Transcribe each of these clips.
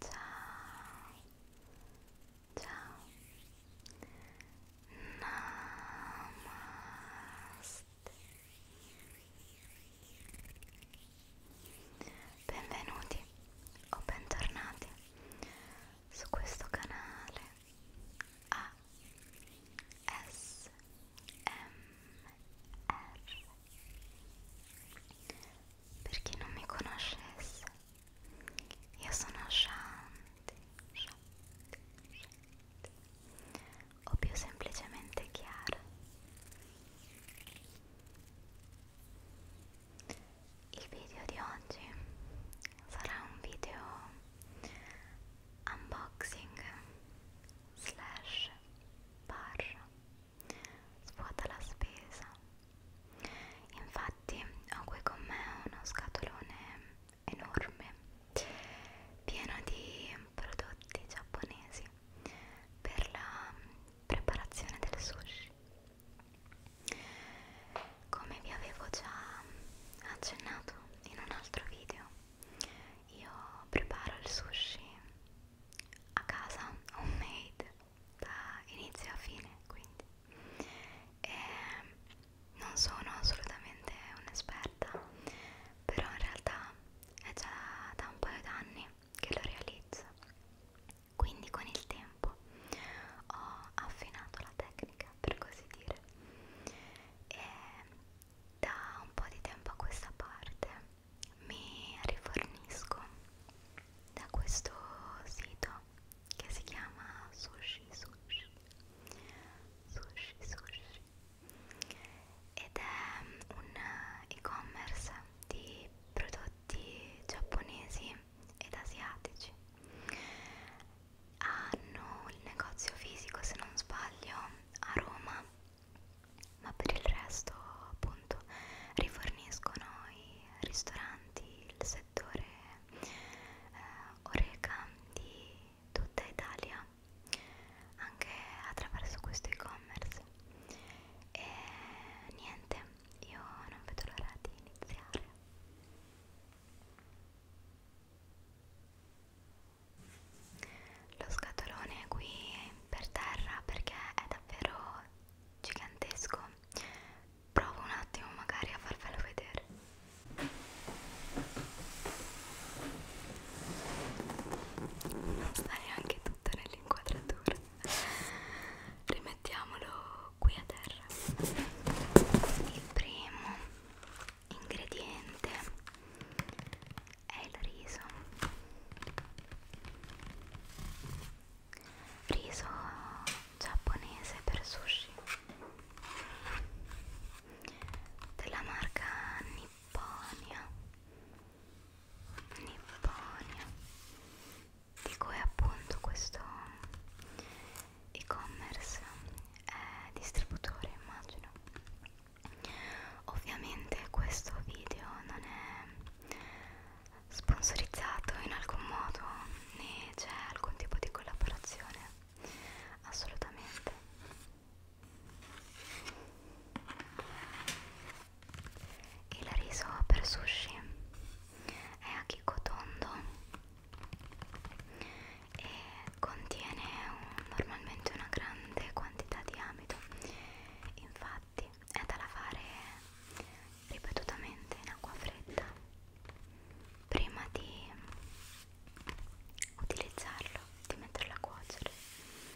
Ciao, ciao, namaste, benvenuti o bentornati su questo canale A S M R per chi non mi conoscesse io sono Shanti, Shanti, Shanti o più semplicemente Chiara il video di oggi sarà un video unboxing slash barra svuota la spesa infatti ho qui con me uno scatolone enorme pieno di prodotti giapponesi per la preparazione del sushi come vi avevo già accennato in un altro video, io preparo il sushi a casa, homemade, da inizio a fine, quindi e non sono assolutamente un'esperta, però in realtà è già da un paio d'anni che lo realizzo quindi con il tempo ho affinato la tecnica, per così dire. E da un po' di tempo a questa parte mi rifornisco da questo sito che si chiama Sushi Sushi Sushi Sushi ed è un e-commerce di prodotti giapponesi ed asiatici hanno il negozio fisico se non sbaglio a Roma ma per il resto appunto riforniscono i ristoranti il settore eh, oreca di tutta Italia anche attraverso questo e-commerce e niente io non vedo l'ora di iniziare lo scatolone qui è per terra perché è davvero gigantesco provo un attimo magari a farvelo vedere non sta neanche tutto nell'inquadratura rimettiamolo qui a terra il primo ingrediente è il riso riso giapponese per sushi della marca Nipponia Nipponia di cui appunto questo e-commerce è eh, distributore immagino ovviamente questo video non è sponsorizzato in alcun modo né c'è alcun tipo di collaborazione assolutamente il riso per sushi è a chicco tondo e contiene un, normalmente una grande quantità di amido infatti è da lavare ripetutamente in acqua fredda prima di utilizzarlo, di metterlo a cuocere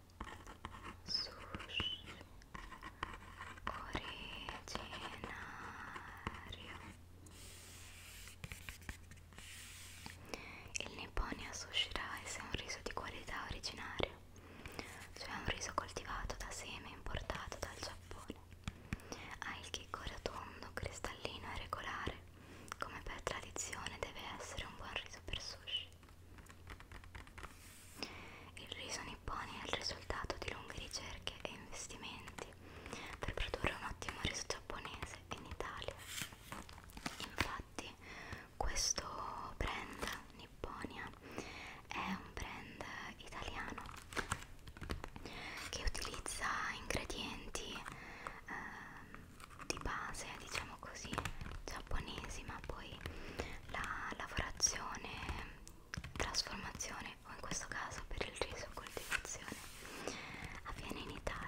sushi originario il Nipponia Sushi Rice è un riso di qualità originario cioè un riso coltivato da seme importato dal Giappone ha il chicco rotondo, cristallino e regolare come per tradizione deve essere un buon riso per sushi il riso nippone è il risultato di lunghe ricerche e investimenti per produrre un ottimo riso giapponese in Italia. Infatti, questo brand Nipponia è un brand italiano che utilizza ingredienti eh, di base, diciamo diciamo così giapponesi ma poi la lavorazione trasformazione o in questo caso per il riso coltivazione avviene in Italia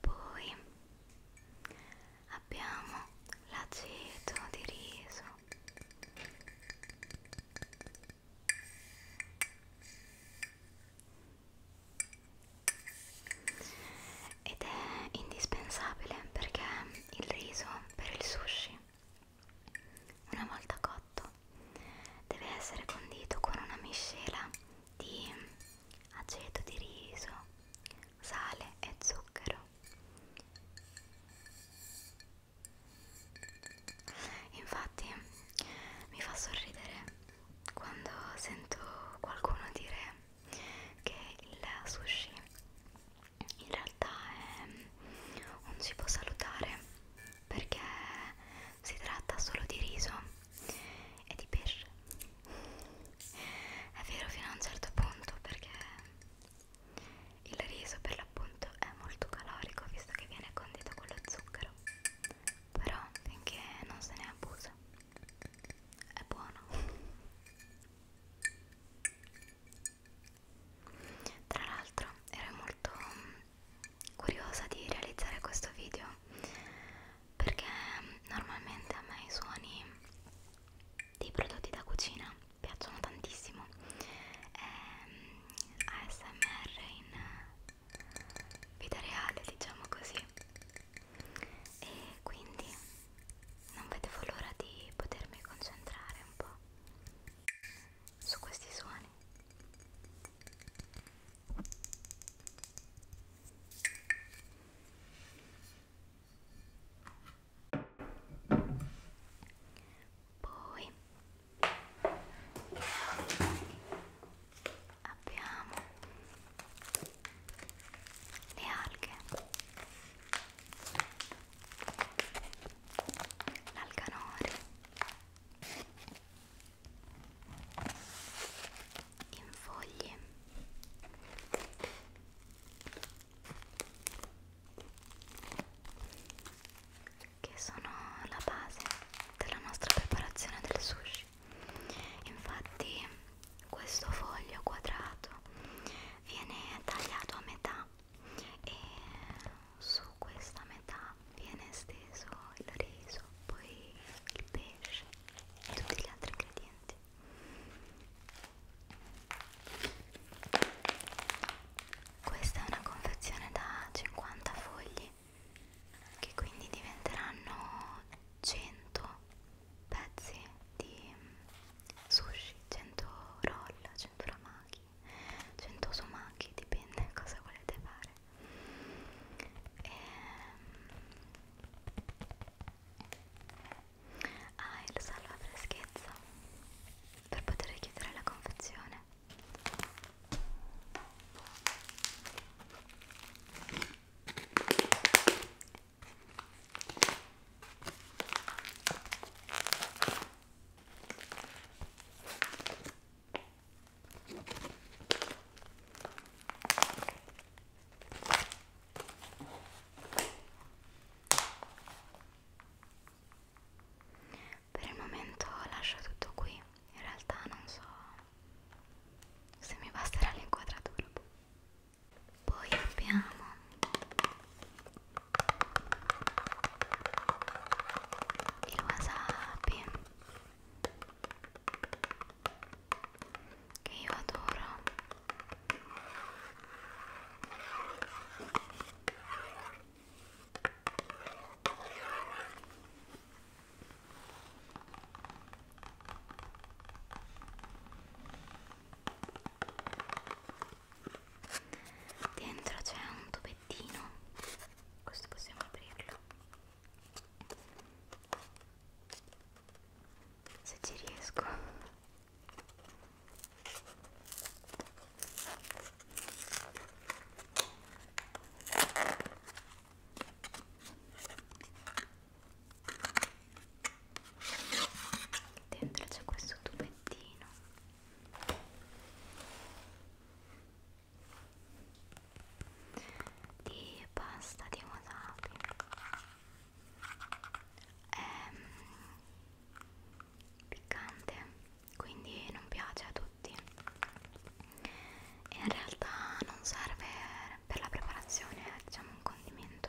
poi abbiamo l'aceto di riso ed è indispensabile perché il riso per il sushi una volta cotto deve essere condito con una miscela di aceto di riso, sale e zucchero. Infatti mi fa sorridere quando sento qualcuno dire che il sushi in realtà è un cibo salutare perché si tratta solo di riso e di pesce è vero fino a un certo punto perché il riso per l'appunto è molto calorico visto che viene condito con lo zucchero però finché non se ne abusa è buono tra l'altro ero molto curiosa di realizzare questo video perché normalmente a me i suoni dei prodotti da cucina piacciono tantissimo ehm, ASMR in vita reale diciamo così e quindi non vedevo l'ora di potermi concentrare un po' su questi suoni poi abbiamo le alghe, l'alcanore in foglie che sono la base della nostra preparazione del sushi infatti questo foglio quadrato viene tagliato a metà e su questa metà viene steso il riso poi il pepe pesce e tutti gli altri ingredienti questa è una confezione da 50 fogli che quindi diventeranno 100 pezzi di mm, sushi 100 roll, 100 ramaki 100 somaki, dipende cosa volete fare e... Ehm, ah il salva freschezza per poter chiudere la confezione per il momento lascio tutto qui, in realtà non so se mi basterà l'inquadratura. Poi abbiamo il wasabi che io adoro dentro c'è un tubettino questo possiamo aprirlo se ci riesco dentro c'è questo tubettino di pasta di wasabi è ehm, piccante quindi non piace a tutti e in realtà non serve per la preparazione è eh, diciamo un condimento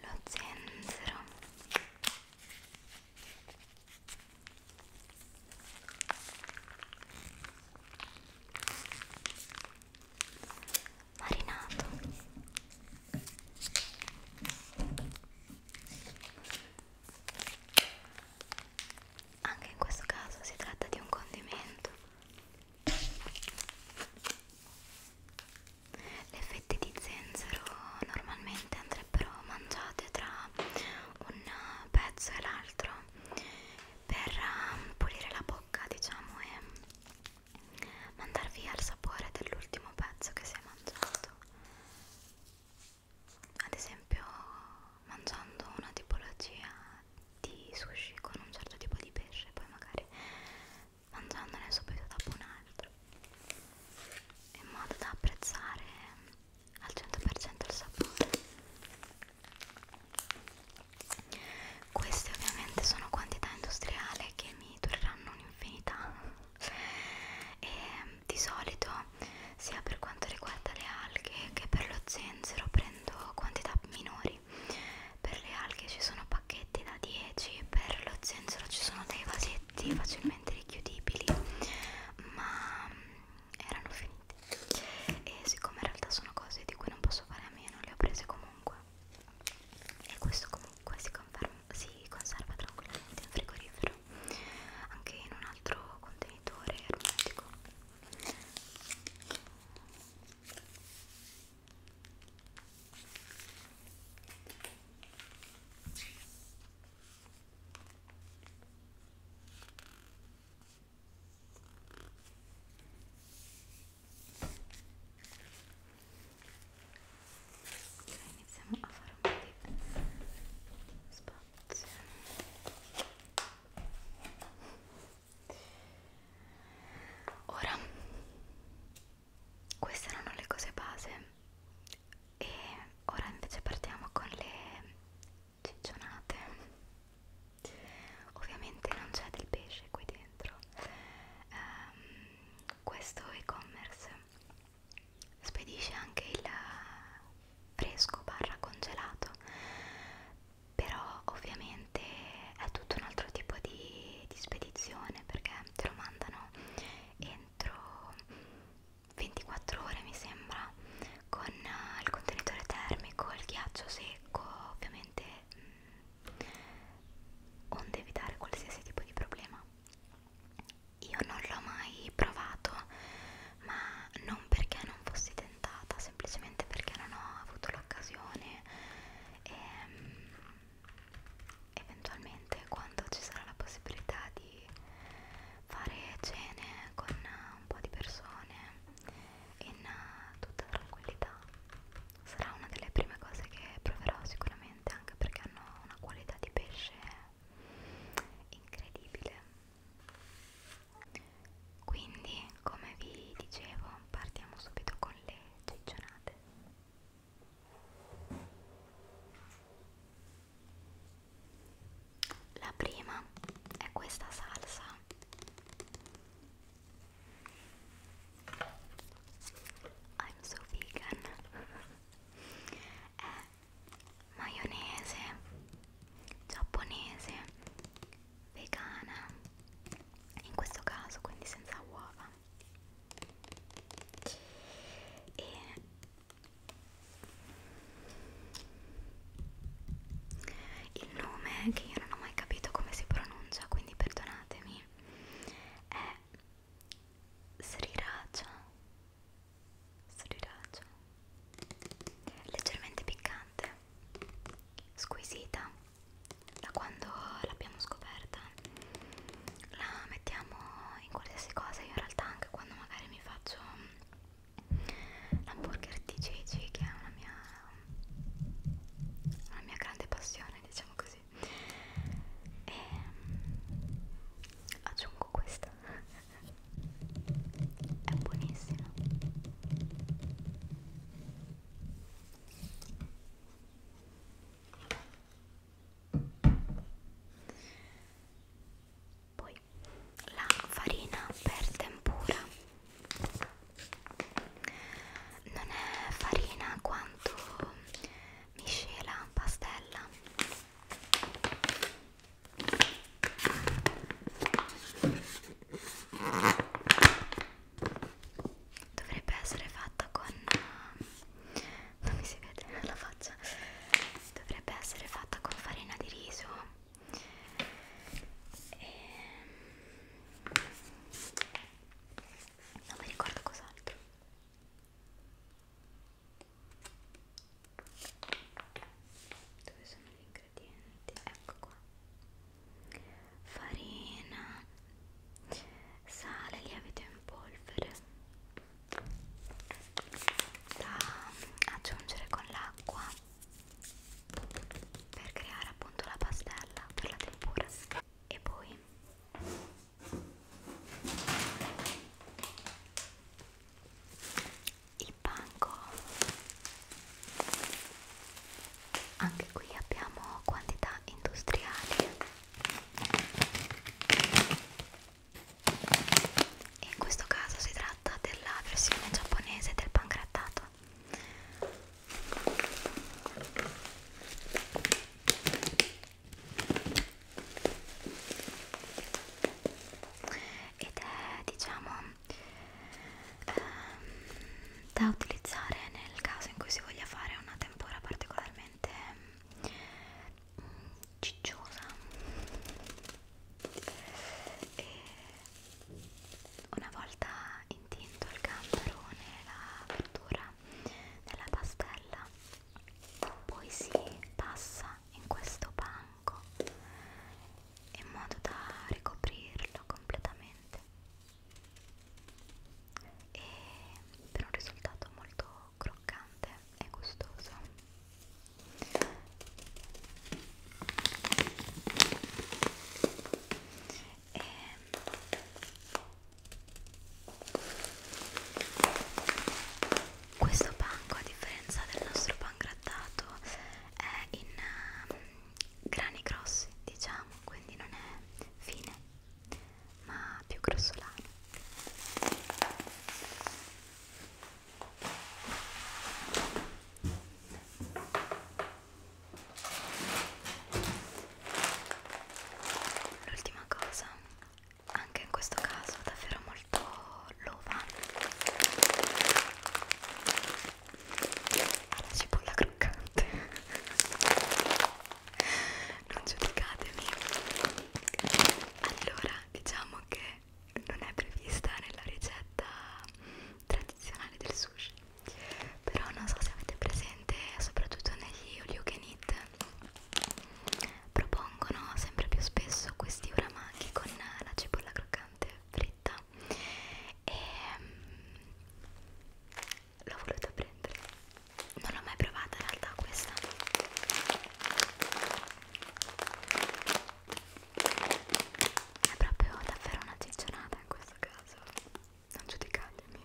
lo zenzero marinato anche in questo caso si tratta di un condimento le fette di zenzero normalmente andrebbero mangiate tra un pezzo e l'altro per um, pulire la bocca, diciamo, e mandar via il sapore dell'ultimo pezzo che si è mangiato. Ad esempio, mangiando una tipologia di sushi con un certo tipo di pesce, poi magari mangiandone subito dopo un altro in modo da apprezzare al 100% il sapore queste ovviamente sono quantità industriale che mi dureranno un'infinità e di solito sia per quanto riguarda le alghe che per lo zenzero prendo quantità minori per le alghe ci sono pacchetti vasetti da 10 per lo zenzero ci sono dei vasetti facilmente richiudibili ma mm, erano finiti e siccome in realtà sono cose di cui non posso fare a meno le ho prese comunque e questo comunque si, conferma, si conserva tranquillamente in frigorifero anche in un altro contenitore ermetico iniziamo a fare un po' di spazio ora queste erano le cose base e ora invece partiamo con le ciccionate ovviamente non c'è del pesce qui dentro um, questo e-commerce spedisce anche il fresco barra congelato però ovviamente è tutto un altro tipo di, di spedizione perché te lo mandano entro 24 ore mi sembra con uh, il contenitore termico, il ghiaccio secco ovviamente mh, mm, onde evitare qualsiasi tipo di problema io non l'ho mai provato ma non perché non fossi tentata semplicemente perché non ho avuto l'occasione e, ehm, eventualmente quando ci sarà la possibilità di fare cene con un po' di persone in tutta tranquillità sarà una delle prime cose che proverò sicuramente anche perché hanno una qualità di pesce incredibile quindi come vi dicevo partiamo subito con le ciccionate la prima è questa salsa I'm so vegan è maionese giapponese vegana in questo caso quindi senza uova e il nome che io non ho mai capito come si pronuncia quindi perdonatemi è Sriracha Sriracha leggermente piccante squisita da quando l'abbiamo scoperta la mettiamo in qualsiasi cosa io in realtà anche quando magari mi faccio l'hamburger di ceci che è una mia una mia grande passione diciamo così e ehm, aggiungo questa è buonissima poi la farina per tempura non è farina quanto miscela pastella dovrebbe essere fatta con eh, non mi si vede la faccia dovrebbe essere fatta con farina di riso e... Ehm, non mi ricordo cos'altro dove sono gli ingredienti? ecco qua farina, sale, lievito in polvere da aggiungere con l'acqua per creare appunto la pastella per la tempura e poi il panko anche qui abbiamo quantità industriali e in questo caso si tratta della versione giapponese del pangrattato ed è diciamo ehm, da utilizzare nel caso in cui si voglia fare una tempura particolarmente mm, cicciosa e una volta intinto il gamberone e la verdura nella pastella poi si passa in questo banco in modo da ricoprirlo completamente e per un risultato molto croccante e gustoso e questo panco a differenza del nostro pan grattato è in, grani grossi diciamo quindi non è fine ma più grossolano l'ultima cosa anche in questo caso davvero molto lova alla cipolla croccante non giudicatemi allora diciamo che non è prevista nella ricetta tradizionale del sushi però non so se avete presente soprattutto negli all-you-can-eat propongono sempre più spesso questi uramaki con la cipolla croccante fritta e ehm, l'ho voluta prendere non l'ho mai provata in realtà questa è proprio davvero una ciccionata in questo caso non giudicatemi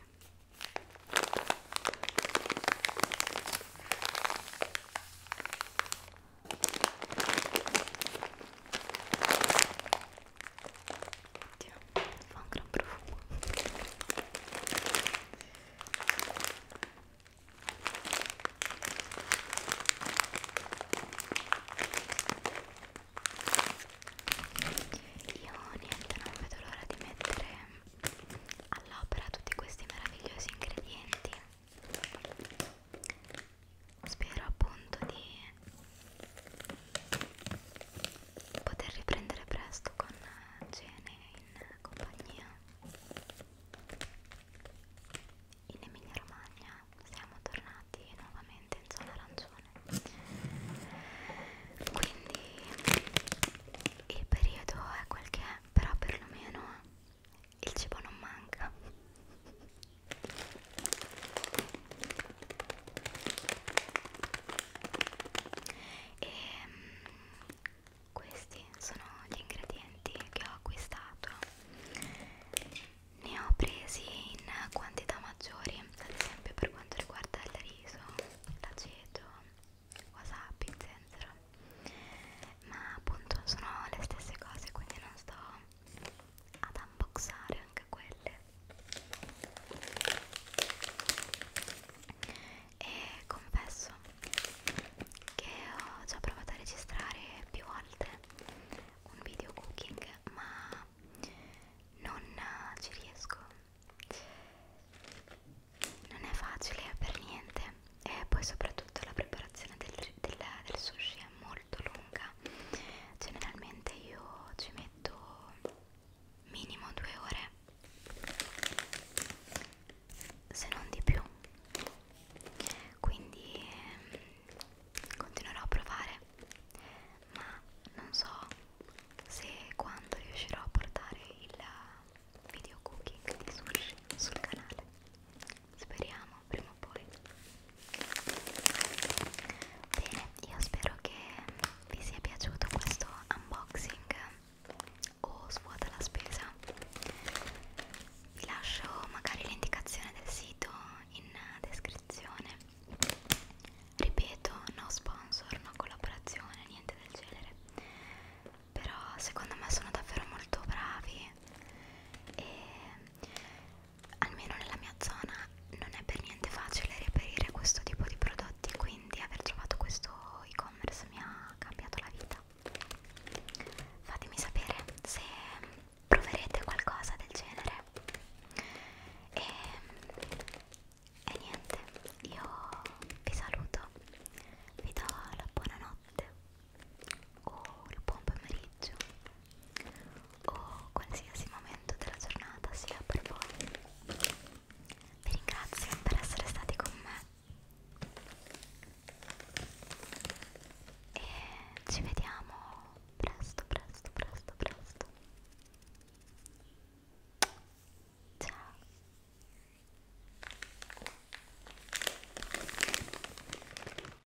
Oddio, fa un gran profumo io niente non vedo l'ora di mettere all'opera tutti questi meravigliosi ingredienti spero appunto di poter riprendere presto con cene in compagnia in Emilia Romagna siamo tornati nuovamente in zona arancione quindi il periodo è quel che è però perlomeno il cibo non manca e ehm, questi sono gli ingredienti che ho acquistato. Ne ho presi in quantità maggiori, ad esempio per quanto riguarda il riso, l'aceto, wasabi, zenzero. Ma appunto sono le stesse cose, quindi non sto ad unboxare anche quelle e confesso che ho già provato a registrare più volte un video cooking ma non ci riesco non è facile per niente e poi soprattutto la preparazione del, del, del sushi così è molto lunga generalmente io ci metto minimo due ore se non di più quindi ehm, continuerò a provare ma non so se quando riuscirò a portare il video cooking di sushi sul canale speriamo prima vediamo poi bene io spero che vi sia piaciuto questo unboxing o svuota la spesa vi lascio magari l'indicazione del sito in descrizione ripeto no sponsor no collaborazione niente del genere però secondo me sono davvero molto bravi e almeno nella mia zona non è per niente facile reperire questo tipo di prodotti quindi aver trovato questo e-commerce mi ha cambiato la vita fatemi sapere se proverete qualcosa del genere e, e niente io vi saluto vi do la buonanotte o il buon pomeriggio o qualsiasi momento della giornata sia per voi. Vi ringrazio per essere stati con me e ci vediamo presto, presto, presto, presto. Ciao.